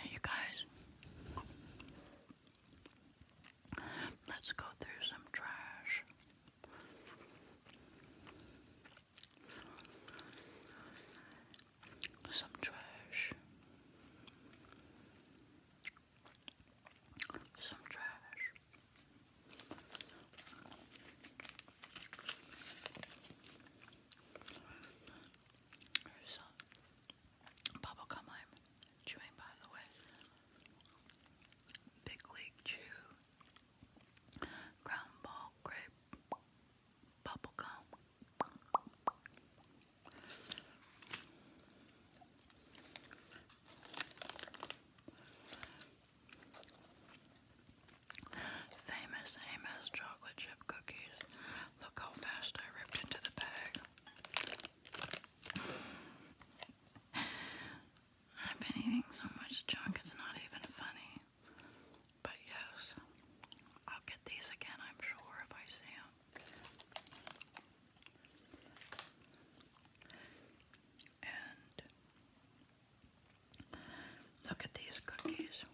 Hey, you guys, let's go through some trash. Some trash. Some trash. There's some bubblegum chewing, by the way. Big League Chew, Ground Ball Grape, Bubblegum. Famous Amos chocolate chip cookies. Look how fast I ripped into the bag. I've been eating so much junk, it's not even funny. But yes, I'll get these again, I'm sure, if I see them. And look at these cookies.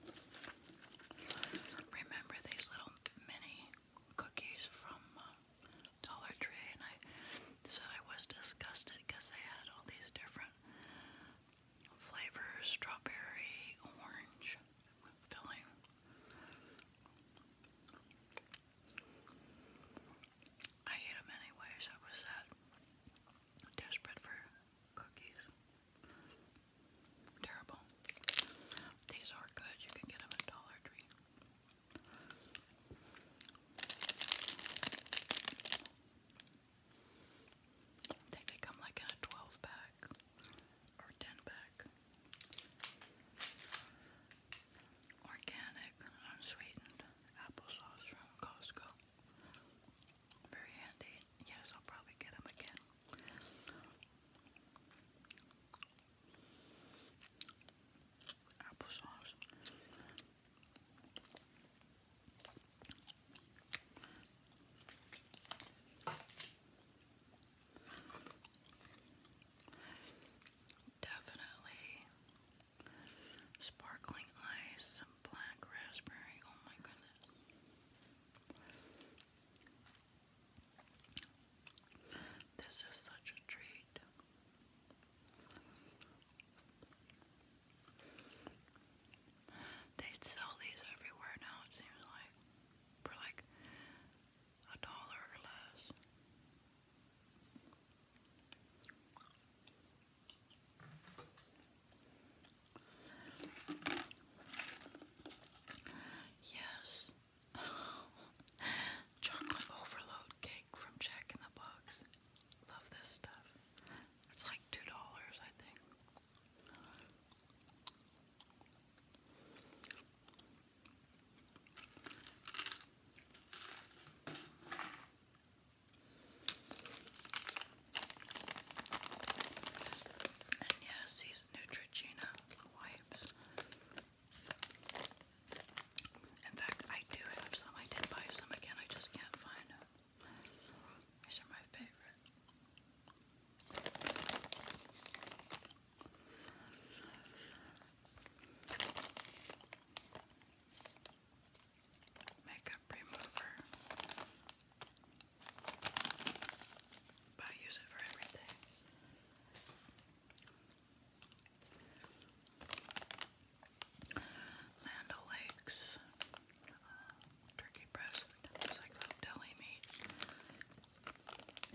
Remember these little mini cookies from uh, Dollar Tree? And I said I was disgusted because they had all these different flavors strawberry, orange filling. I ate them anyways. I was that desperate for cookies. Terrible. These are good. You can get them at Dollar Tree. they come like in a 12 pack or 10 pack organic, unsweetened applesauce from Costco. Very handy. Yes, I'll probably get them again. Applesauce. Definitely Sparkling ice, black raspberry. Oh my goodness. This is such a treat. They sell these everywhere now, it seems like, for like a dollar or less. Yes. Chocolate overload cake from Jack in the Box. Love this stuff. It's like $2, I think. And yes, these Neutrogena wipes. In fact, I do have some. I did buy some again. I just can't find them. These are my favorite makeup remover, but I use it for everything. Land O'Lakes, uh, turkey breast, it's like deli meat.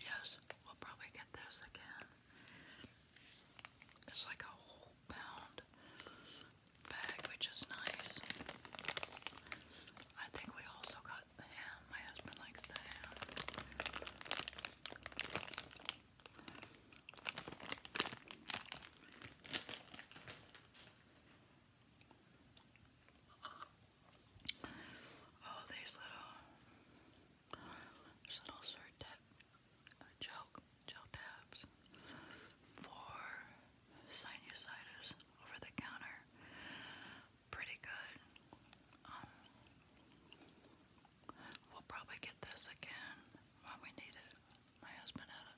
Yes, we'll probably get this again. It's like a whole pound bag, which is nice. I think we also got ham. My husband likes the ham. Oh, these little there's little shirt gel, gel tabs for sinusitis over the counter. Pretty good. Um, we'll probably get this again when we need it. My husband had a,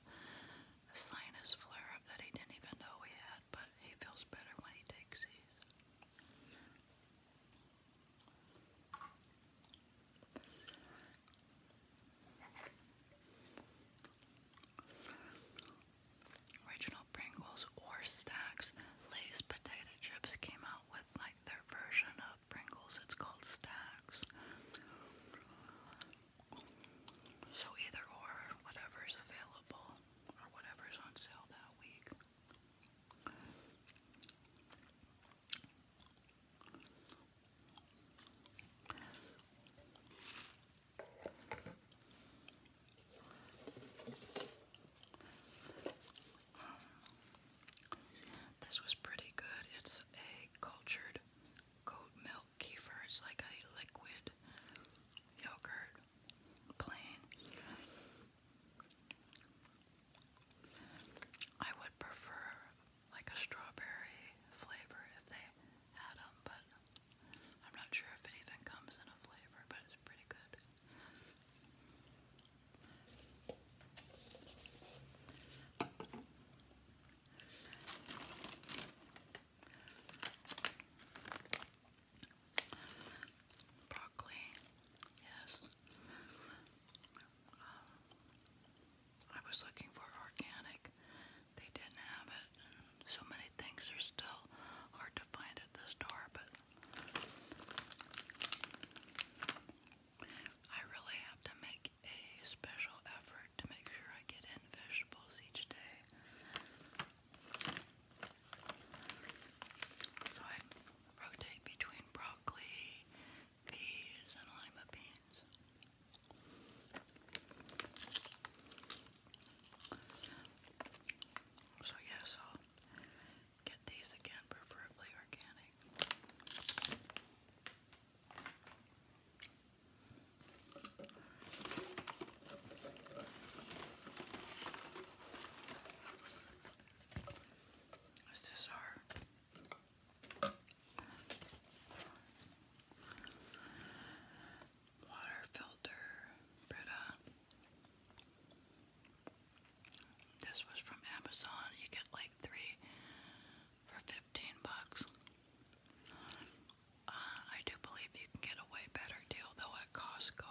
sinus flare that he didn't even know he had, but he feels better when he takes these. Original Pringles or Stacks. Lay's potato chips came out with like their version of Pringles. It's called Stacks. So either or, whatever's available or whatever's on sale that week. This was pretty good. It's a cultured goat milk kefir. It's like a liquid yogurt, plain. I would prefer like a strawberry flavor if they had them, but I'm not sure if it even comes in a flavor, but it's pretty good. Broccoli, yes. Um, I was looking for organic. They didn't have it. so many things are still hard to find at the store, but I really have to make a special effort to make sure I get in vegetables each day. So I rotate between broccoli peas and lima beans. So yes, i get these again, preferably organic. This is our Water filter, Brita. This was from Amazon. You get like three for 15 bucks. Uh, I do believe you can get a way better deal though at Costco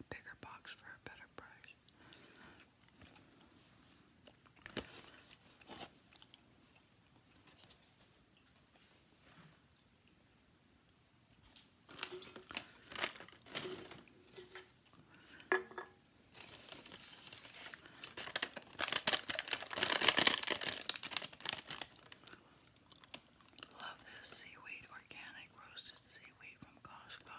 a bigger box for a better price. Love this seaweed organic roasted seaweed spicy wheat from Costco.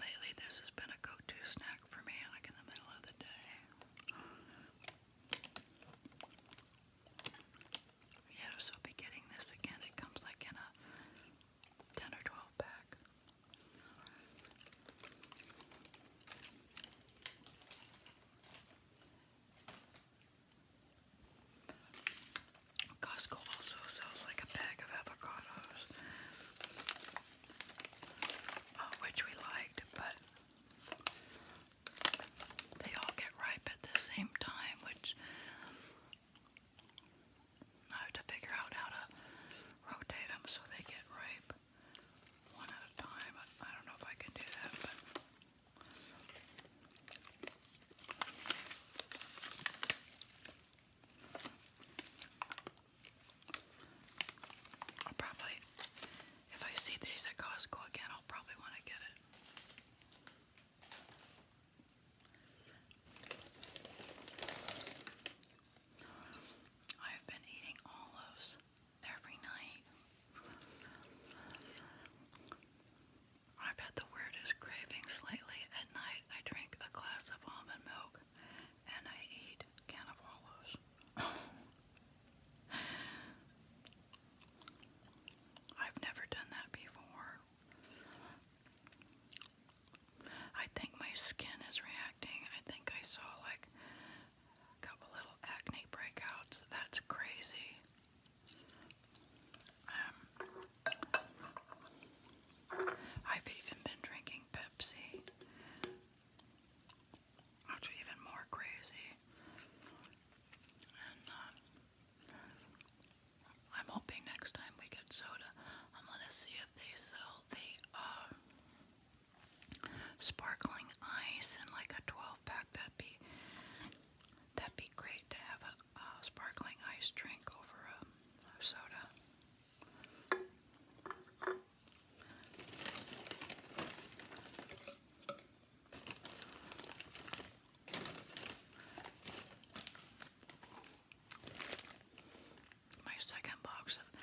Lately, this has been a go-to snack for me, like in the middle of the day. Yeah, so I'll be getting this again. It comes like in a 10 or 12 pack. Costco also sells like a bag of avocados, uh, which we liked, but they all get ripe at the same time, which I have to figure out how to rotate them so they get ripe one at a time. I don't know if I can do that, I'll probably, if I see these at Costco again, I'll probably want to get it. I have been eating olives every night I've had the weirdest cravings lately. At night, I drink a glass of almond milk and I eat cannavalos. I've never done that before. I think my skin is reacting. I think I saw like a couple little acne breakouts. That's crazy. Um, I've even been drinking Pepsi. Which are even more crazy. And uh, I'm hoping next time we get soda, I'm gonna see if they sell the uh, sparkling ice and like a 12 pack. That'd be That'd be great to have a, sparkling ice drink over a, a soda. My second box of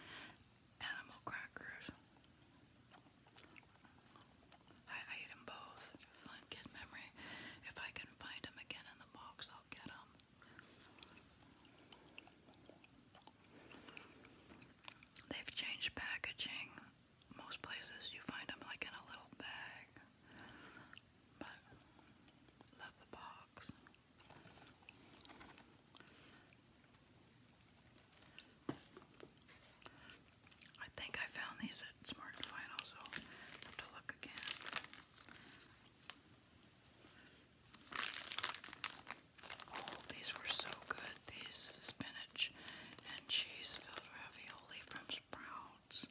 animal crackers. I, ate them both. Fun kid memory. If I can find them again in the box, I'll get them. They've changed packaging. Most places you find them like in a little bag. But love the box. I think I found these at Smart and Final, so have to look again. Oh, these were so good. These spinach and cheese filled ravioli from Sprouts.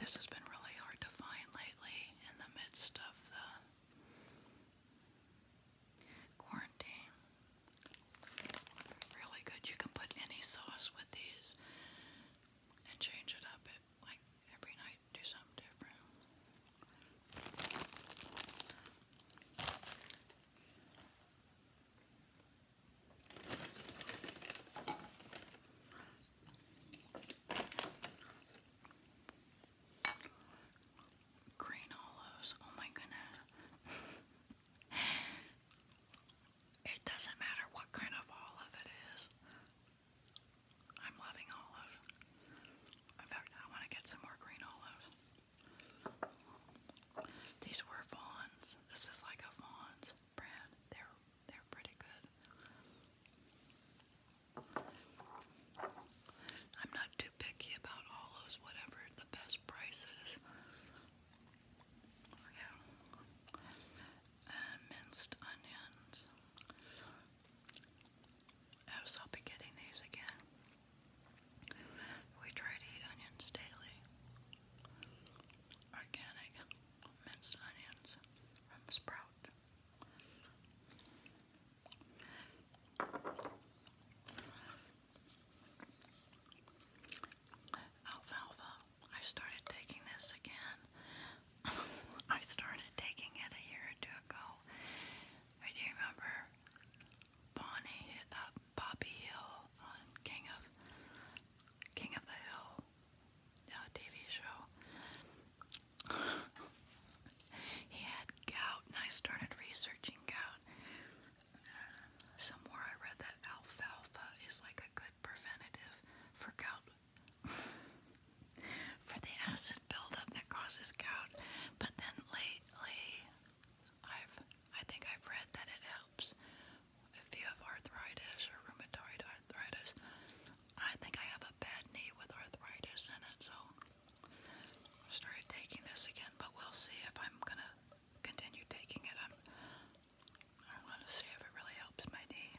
This has been really hard to find lately in the midst of the Quarantine. Really good. You can put any sauce with these and change it up at, like every night, do something different. Green olives. Oh my goodness. it doesn't matter what kind of olive it is. I'm loving olives. In fact, I want to get some more green olives. These were Vaughn's. This is like a Vaughn's brand. They're they're pretty good. I'm not too too picky about olives, whatever the best price Yeah. minced onions. I'll be getting these again. We try to eat onions daily. Organic minced onions from Sprout. Oh, Alfalfa. I started taking this again. I started taking it a year or two ago. I do remember Bonnie hit up uh, Bobby Hill on King of King of the Hill uh, TV show. he had gout, and I started researching gout. somewhere I read that alfalfa is like a good preventative for gout, for the acid buildup that causes gout. But then lately, I've I think I've read that it helps if you have arthritis or rheumatoid arthritis. I think I have a bad knee with arthritis in it, so started taking this again, but we'll see if I'm gonna continue taking it. I'm I'm gonna see if it really helps my knee.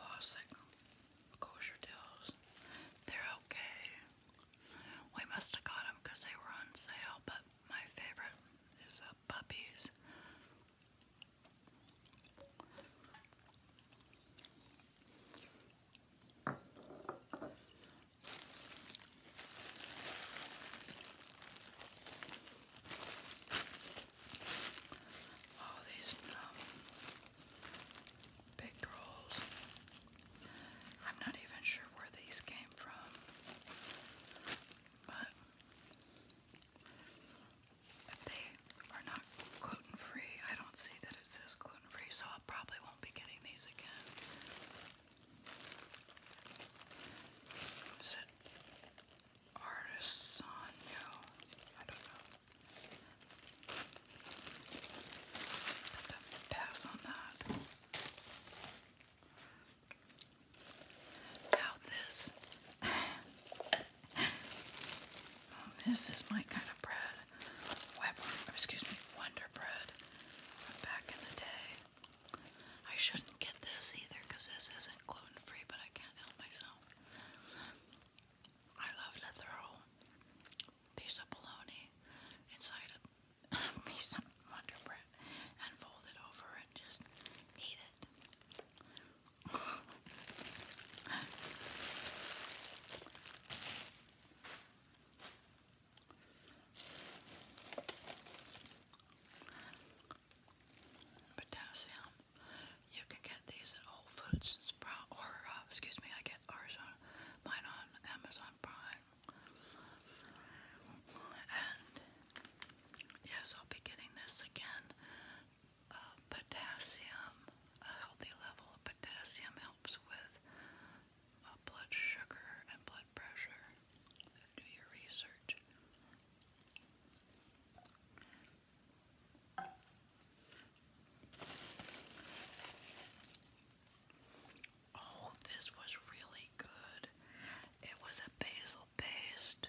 Lost kosher tails. They're okay. We must have got them because they were on sale, but my favorite is uh, puppies. Oh, these um, big rolls. I'm not even sure where these came from, but if they are not gluten free, I don't see that it says gluten free, so I probably won't be getting these again. Is it Artisano? I don't know. Put on that. Doubt this. this is my kind of bread. excuse me, Wonder Bread back in the day. I shouldn't get this either because this isn't gluten free, but I can't help myself. I love to throw a piece of bologna inside a piece of Wonder Bread and fold it over and just eat it. Potassium. You can get these at Whole Foods or uh, excuse me, I get ours on mine on Amazon Prime. And yes, I'll be getting this again. Uh, potassium, a healthy level of potassium helps with uh, blood sugar and blood pressure. do your research. Oh, this was really good. It was a basil paste.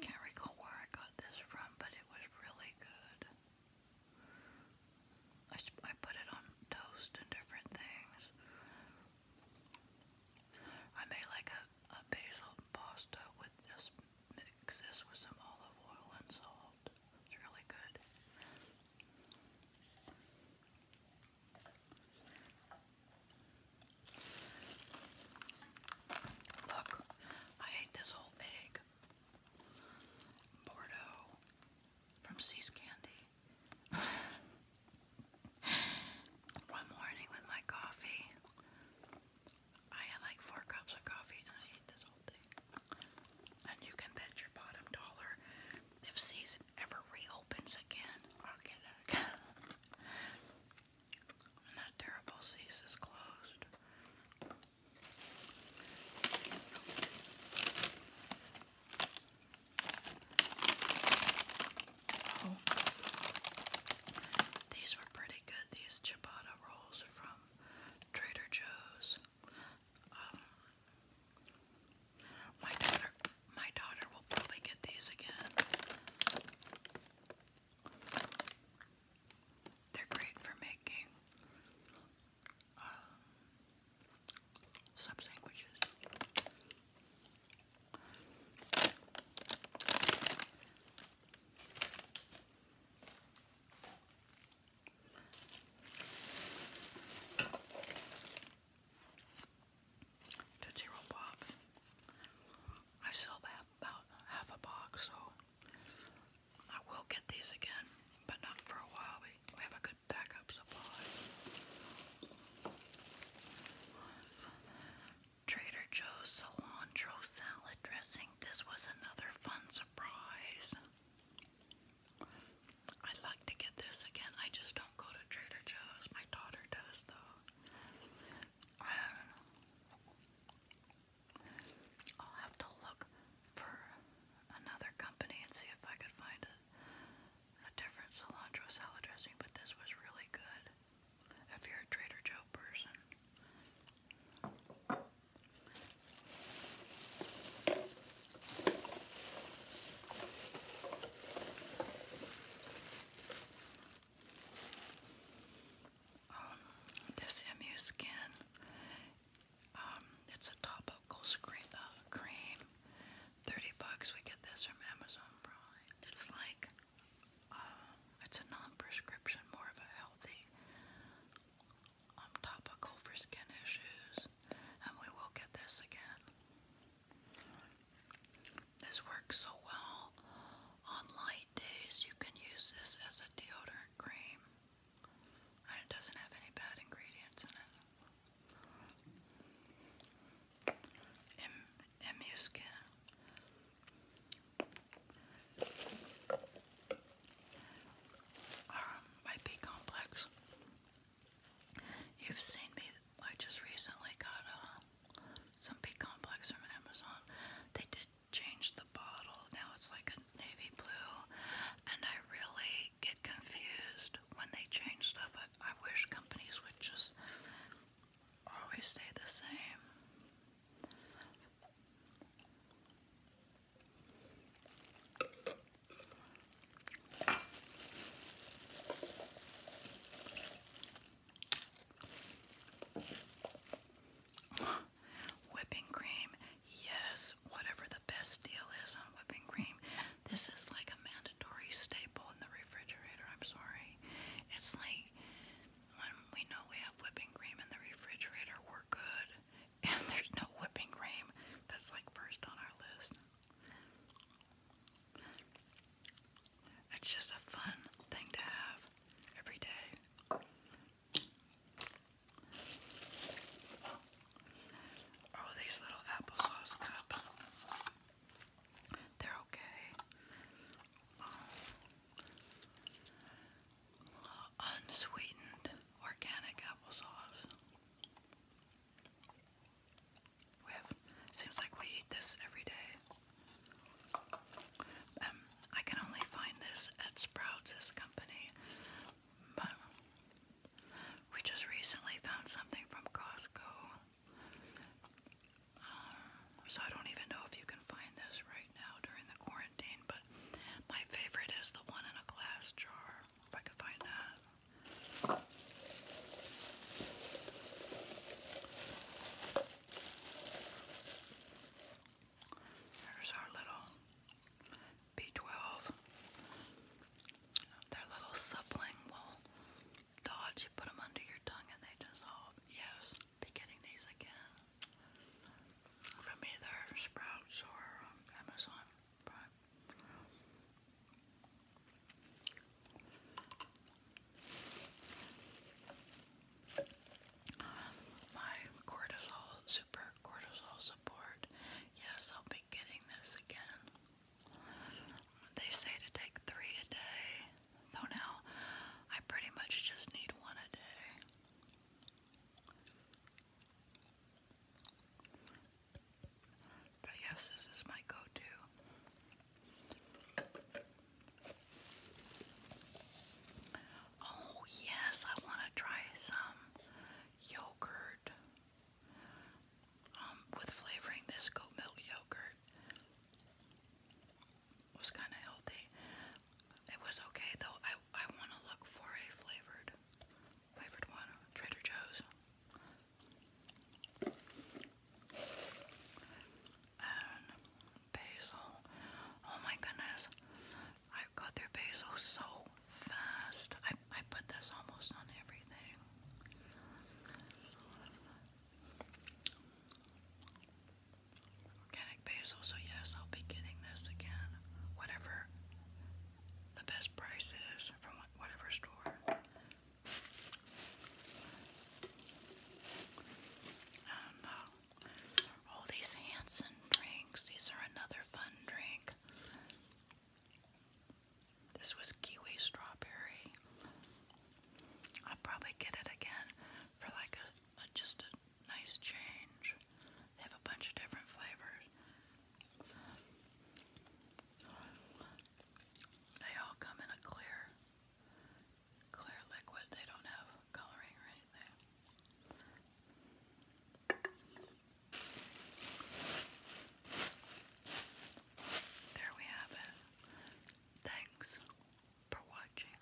Can't recall where I got this from, but it was really good. I, I put it on toast and different things. I made like a, a basil pasta with this, mix this with some olive oil and salt. It's really good. Look, I ate this whole bag. Bordeaux from Seas Candy. One morning with my coffee, I had like four cups of coffee and I ate this and you can bet your bottom dollar if season ever reopens again, i and that terrible season is closed. Oh. These were pretty good, these ciabatta rolls from Trader Joe's. Um, my daughter, my daughter will probably get these again. They're great for making um, sub sandwiches. Tootsie Roll Pop. I still have about half a box, so I will get these again, but not for a while. We, we have a good backup supply. Trader Joe's cilantro salad dressing. This was another fun surprise. I'd like to get this again. I just don't go to Trader Joe's. My daughter does, though. I will have to look for another company and see if I could find a, a different cilantro salad dressing, but this was really good. If you're a Trader Joe person. Um, this MU skin, um, it's a topical screen, uh, cream. 30 bucks, we get this from Amazon It's like, uh, it's a non prescription, more of a healthy I'm topical for skin issues, and we will get this again. This works so well on light days. You can use this as a deodorant cream, and it doesn't have any bad ingredients in it. Em Emuskin um, my B complex. You've seen me. I just recently got uh, some B complex from Amazon. They did change the bottle. Now it's like a navy blue, and I really get confused when they change stuff. I wish companies would just always stay the same. whipping cream, yes, whatever the best deal is on whipping cream. This is like a mandatory staple in the refrigerator. I'm sorry. It's like when we know we have whipping cream in the refrigerator, we're good. and there's no whipping cream. That's like first on our list. It's just a fun thing to have every day. Oh, these little applesauce cups. They're okay. Um, unsweetened organic applesauce. We seems like we eat this every day. Um, I can only find this at Sprouts, company, but we just recently found something from Costco. Uh, so I don't even know if you can find this right now during the quarantine, but my favorite is the one in a glass jar, if I could find that. There's our little B12. Their little suppling will dodge. You put them under your tongue and they dissolve. Yes, be getting these again from either Sprouts or um, Amazon Prime. My cortisol, super cortisol support. Yes, I'll be getting this again. They say to take three a day, though now I pretty much just need one a day. But yes, this is my go-to. Oh, yes, I want to try some yogurt um, with flavoring. This goat milk yogurt was kind of healthy, it was okay though. I I want to look for a flavored flavored one. Trader Joe's. And basil. Oh my goodness. I go through basil so fast. I I put this almost on everything. Organic basil, so yes, I'll be getting this again. Whatever the best prices from whatever store. And uh, all these Hanson drinks, these are another fun drink. This was kiwi strawberry. I'll probably get it again for like a but just a nice change. They have a bunch of different flavors. They all come in a clear, clear liquid. They don't have coloring or anything. There we have it. Thanks for watching.